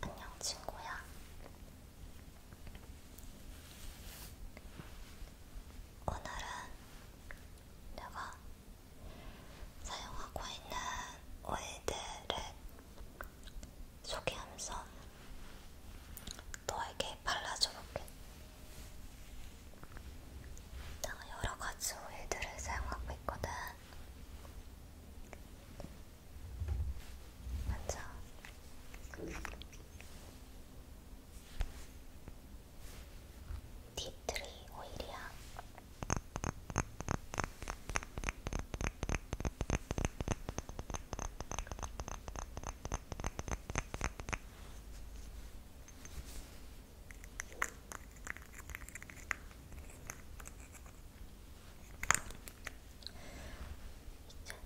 안녕 친구야. 오늘은 내가 사용하고 있는 오일들을 소개하면서 너에게 발라줘볼게. 나 여러 가지 오일들을 사용하고 있거든. 먼저 티트리 오일이야.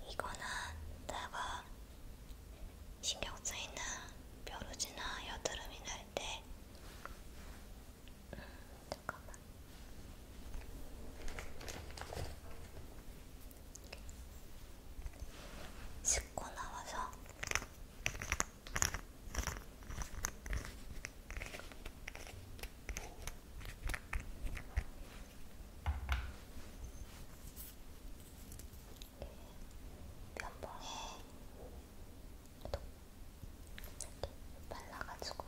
이거는 내가 신경 쓰이는 벼루지나 여드름이 날때 음, 잠깐만 씻고 나와서 몇번 발라가지고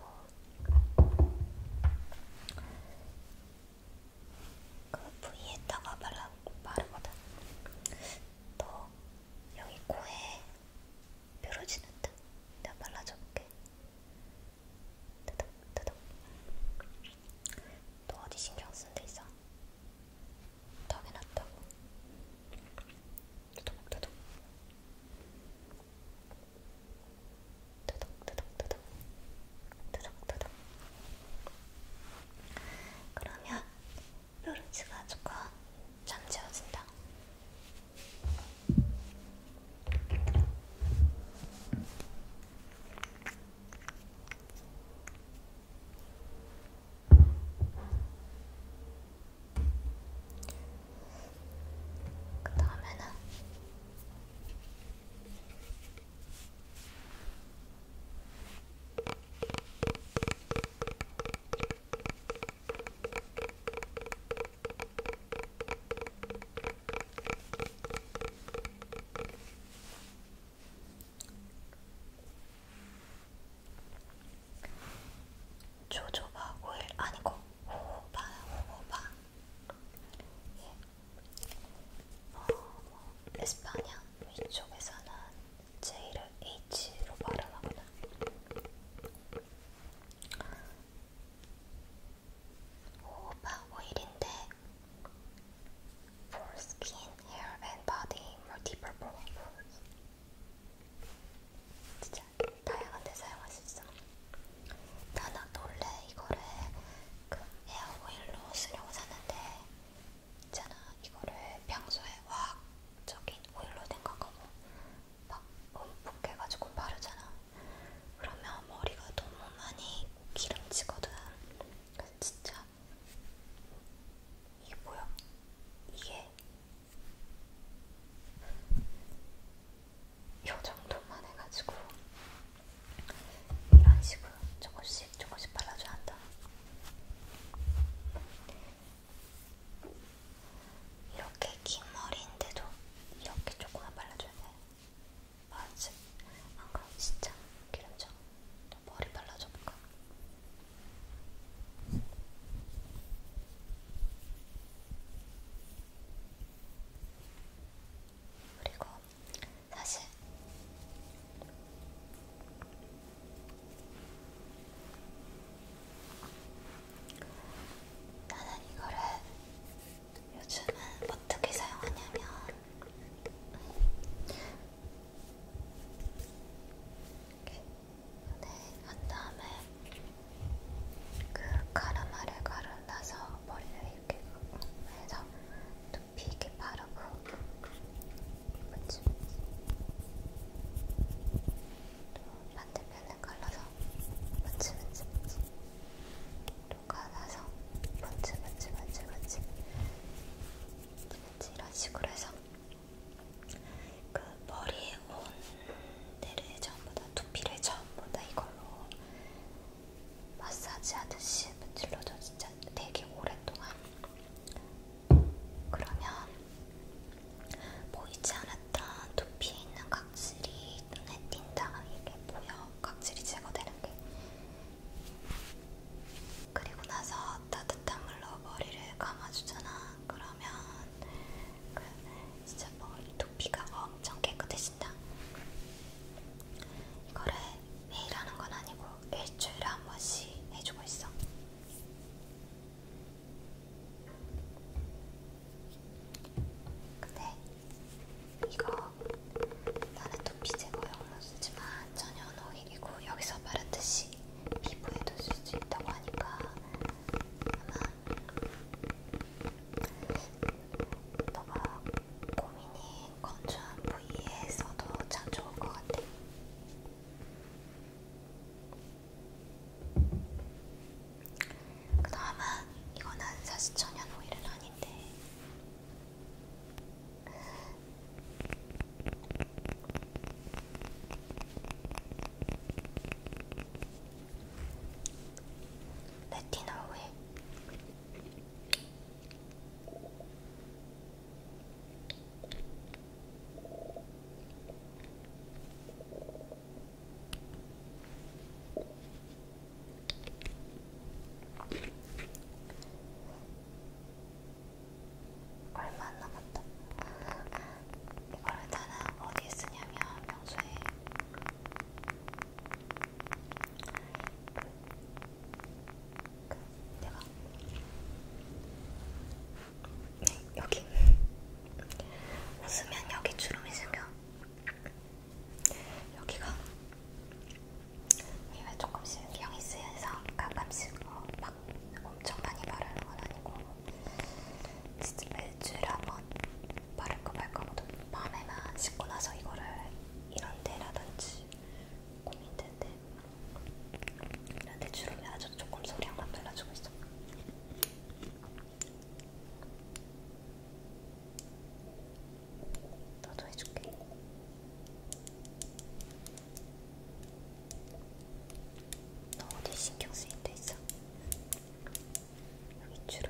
그 부위에다가 발라 바르거든. 또 여기 코에 뾰루지 났다. 내가 발라줘볼게. 따닥 따닥. 또 어디 신경 쓴 데 있어? 턱에 났다고. 따닥 따닥. 따닥 따닥 따닥. 따닥 따닥. 그러면 뾰루지가지고 잠재워진다. 그 다음에는 조조바 오일 아니고 호호바 호호바 예. 어, 뭐 에스파냐 위쪽에서는 J를 H로 말하나 보다. 오빠 5일인데 For skin, hair and body, multiple purpose 진짜 다양한 데 사용할 수 있어. 나는 원래 이거를 그 에어오일로 쓰려고 샀는데 있잖아 이거를 평소에 화학적인 오일로 된 거고 막 움푹해가지고 바르잖아 그러면 머리가 너무 많이 기름지거든 그래서 진짜 이게 뭐야? 이게 요 정도만 해가지고 이런 식으로 조금씩 조금씩 발라줘야 한다. 이렇게 긴 머리인데도 이렇게 조금만 발라줘야 돼. 맞지? 안 그럼 진짜 기름져. 머리 발라줘볼까? 그리고 사실. 나는 이거를 요즘은 어떻게 사용하냐면 이렇게 한 다음에 그 가르마를 가른 나서 머리를 이렇게 해서 눈빛에 바르고 맞지? 또 반대편을 갈라서 맞지 맞지 맞지 또 갈라서 맞지 맞지 맞지 맞지 맞지 이런 식으로 해서 그 머리에 온 데를 전부 다 두피를 전부 다 이걸로 마사지 하듯이 문질러도 진짜 되게 오랫동안 그러면 보이지 않았던 두피에 있는 각질이 눈에 띈다. 이게 보여. 각질이 제거되는 게. 그리고 나서 따뜻한 물로 머리를 감아주잖아. 그러면 그 진짜 머리 두피가 엄청 깨끗해진다. 이거를 매일 하는 건 아니고 일주일에 한 번씩 해주고 있어. 근데 이거 나는 또 피제거 영로 쓰지만 천연 오일이고 여기서 바르듯이 피부에도 쓸 수 있다고 하니까 아마 너가 고민이 건조한 부위에서도 참 좋을 것 같아요. 그 다음은 이거는 사실 천연 오일은 아닌데 레티놀 오일 얼마 안 남았다. 이거를 다는 어디에 쓰냐면 평소에 내가 네, 여기 웃으면 여기 주름이 생겨. 여기가 이왜 조금씩 영이 쓰여서 가끔씩 어, 막 엄청 많이 바르는 건 아니고 진짜 매주일 한번 바를까 말까 하고도 밤에만 씻고 나서 이거를 이런 데라든지 고민된데 대추름에 아주 조금 소리 한번 발라주고 있어. 너도 해줄게. 너 어디 신경 쓰인 데 있어? 여기 주름.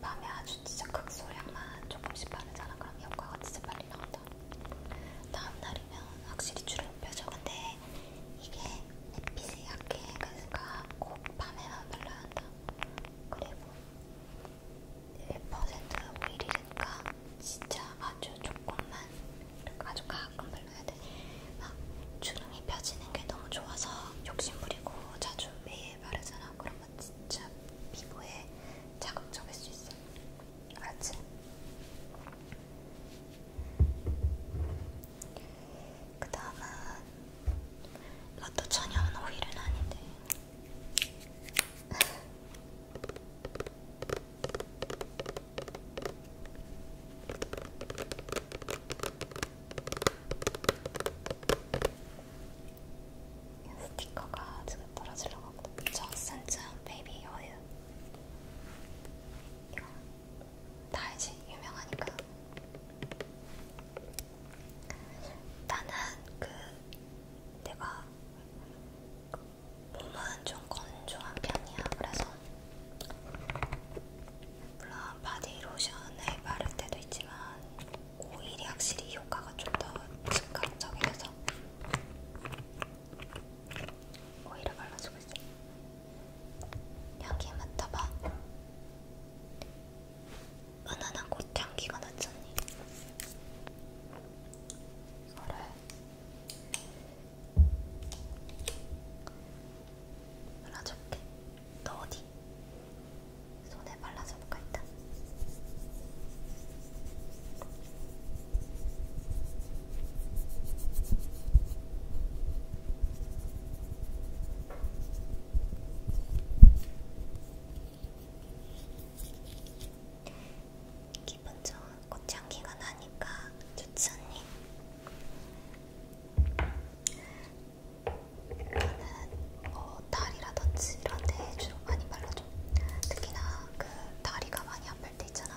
밤에 아주 진짜 극소량만 조금씩 바르잖아. 그럼 효과가 진짜 빨리 나온다. 다음 날이면 확실히 줄어펴져. 근데 이게 햇빛이 약해. 그러니까 꼭 밤에만 발라야 한다. 그리고 1% 오일이니까 진짜 아주 조금만, 아주 가끔 발라야 돼. 막 주름이 펴지는 게 너무 좋아서 욕심부리고 자주 매일 바르잖아. 그럼 하면 진짜 피부에 자극적일 수 있어. 알았지? 그 다음은 라또 천연은 오일은 아닌데. 스티커가 지금 떨어지려고 하거든. 저센츠 베이비 오일. 이거 다 알지? 유명하니까. 나는 그 내가 그 몸은 좀 건조한 편이야. 그래서 물론 바디 로션을 바를 때도 있지만 오일이 확실히 효과가 좀 더 즉각적이라서 오일을 발라주고 있어요. 향기 맡아봐. 은은한 꽃향기가 났잖니. 이거를 발라줄게. 너 어디? 손에 발라서 볼까 일단. 기분 좋은 꽃향기가 나니까 좋지 않니? 저는 어, 다리라든지 이런 데 주로 많이 발라줘. 특히나 그 다리가 많이 아플 때 있잖아.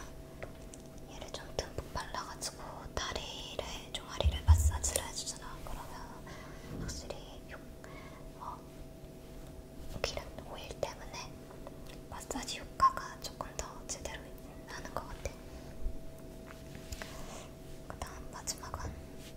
얘를 좀 듬뿍 발라가지고 다리를 종아리를 마사지를 해주잖아. 그러면 확실히 육, 어, 기름 오일 때문에 마사지 효과가 조금 더 제대로 나는 것 같아. 그다음 마지막은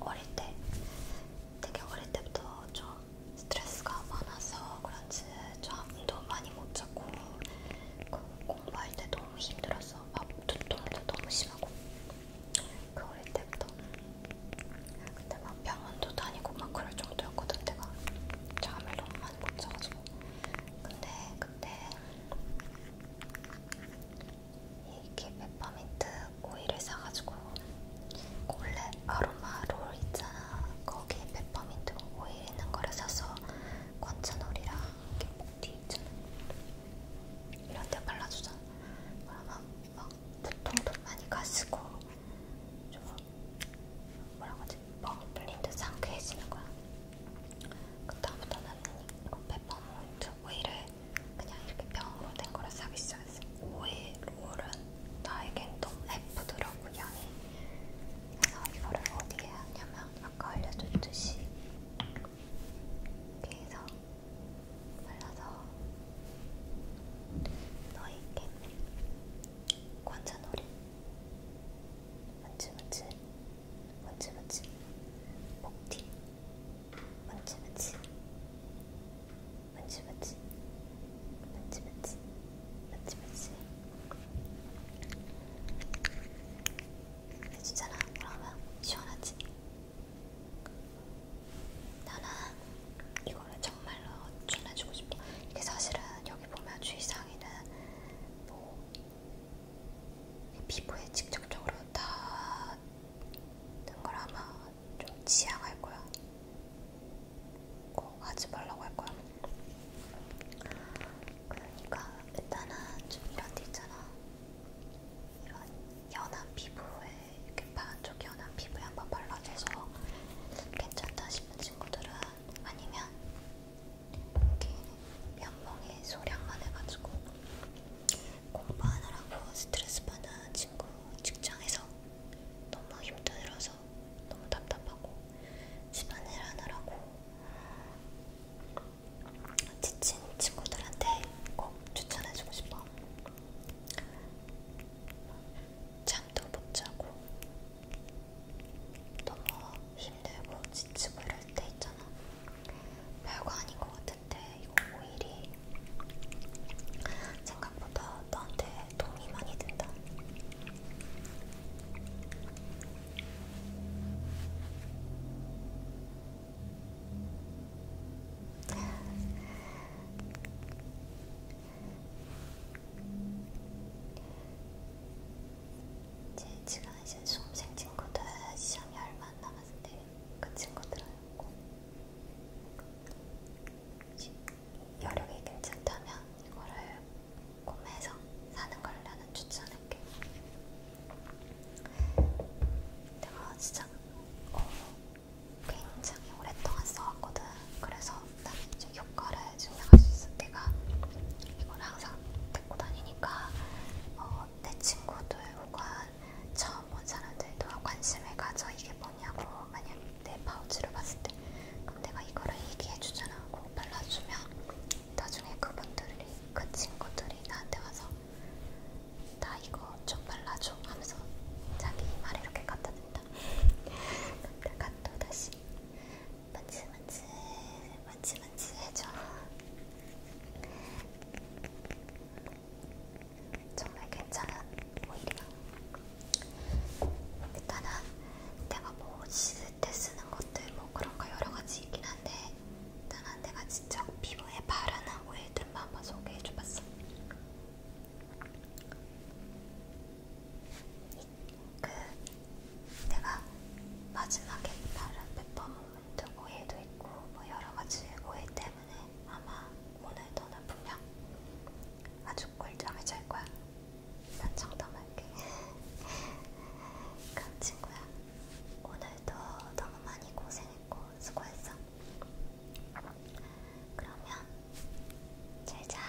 어릴 때 되게 어릴 때부터 좀 스트레스가 많아서 그런지 잠도 많이 못 자고 그 공부할 때 너무 힘들어서 막 두통도 너무 심하고 그 어릴 때부터 근데 막 병원도 다니고 막 그럴 정도였거든 내가 잠을 너무 많이 못 자가지고 근데 그때 이게 페퍼민트 오일을 사가지고 골렛 아로마 롤 있잖아 거기에 페퍼민트 오일 있는 거를 사서 관자놀이랑 이렇게 목뒤 있잖아 이런 데 발라주잖아 그러면 막 두통도 많이 가시고 좀 뭐라고 하지? 뻥 뚫린 듯 상쾌해지는 거야 그다음부터는 이거 페퍼민트 오이를 그냥 이렇게 병으로 된 거를 사기 시작했어요. 오이 롤은 나에겐 너무 예쁘더라고요. 그래서 이거를 어디에 하냐면 아까 알려줬듯이 이렇게 해서 발라서 너에게 관자놀이 맞지 맞지 맞지 맞지 목티 맞지 맞지 맞지 맞지 맞지 맞지 맞지 맞지 해주잖아 그러면 시원하지? 나는 이거를 정말로 추천해주고 싶어 이게 사실은 여기 보면 주의사항에는 뭐 피부에 직접적으로 닿는 걸 아마 좀 지양할 거야. 꼭 하지 말라고 할 거야. 그러니까 일단은 좀 이런 데 있잖아. 이런 연한 피부에 이렇게 반쪽 연한 피부에 한번 발라줘서 괜찮다 싶은 친구들은 아니면 이렇게 면봉에 소량만 해가지고 공부하느라고 스트레스 받은 친구 직장에서 너무 힘들어서 너무 답답하고 집안일 하느라고 지친 친구들한테 꼭 추천해주고 싶어. 잠도 못 자고 너무 힘들고 지치고 이럴 때 있잖아. 별거 아닌 것 같은데 텐데 이거 오일이 생각보다 나한테 도움이 많이 된다. 이제 지금 이제 수험생 친구들 시험이 얼마나 많았을 때그 친구들하고 여력이 괜찮다면 이거를 구매해서 사는 걸 나는 추천할게. 내가 진짜 어, 굉장히 오랫동안 써왔거든. 그래서 나는 이제 효과를 증명할 수 있어. 내가 이걸 항상 듣고 다니니까 어, 내 친구들 혹은 처음 본 사람들도 관심을 가져 이게 뭐냐고 만약 내 파우치를 봤을 때 그럼 내가 이거를 얘기해주잖아 하고 발라주면 나중에 그분들이 그 친구들이 나한테 와서 나 이거 좀 발라줘 하면서 자기 말에 이렇게 갖다 댄다 근데 갓도 다시 만지만지 만지만지 해줘 정말 괜찮은 오일이야. 일단은 내가 뭐 씻을 때 쓰는 것들 뭐 그런 거 여러 가지 있긴 한데 일단은 내가 직접 피부에 바르는 오일들만 한번 소개해줘봤어. 그 내가 마지막에 바른 페퍼몬 또 오해도 있고 뭐 여러 가지 오해 때문에 아마 오늘 너는 분명 아주 꿀잠을 잘 거야. 난 장담할게. 그럼 친구야, 오늘도 너무 많이 고생했고 수고했어. 그러면 잘 자.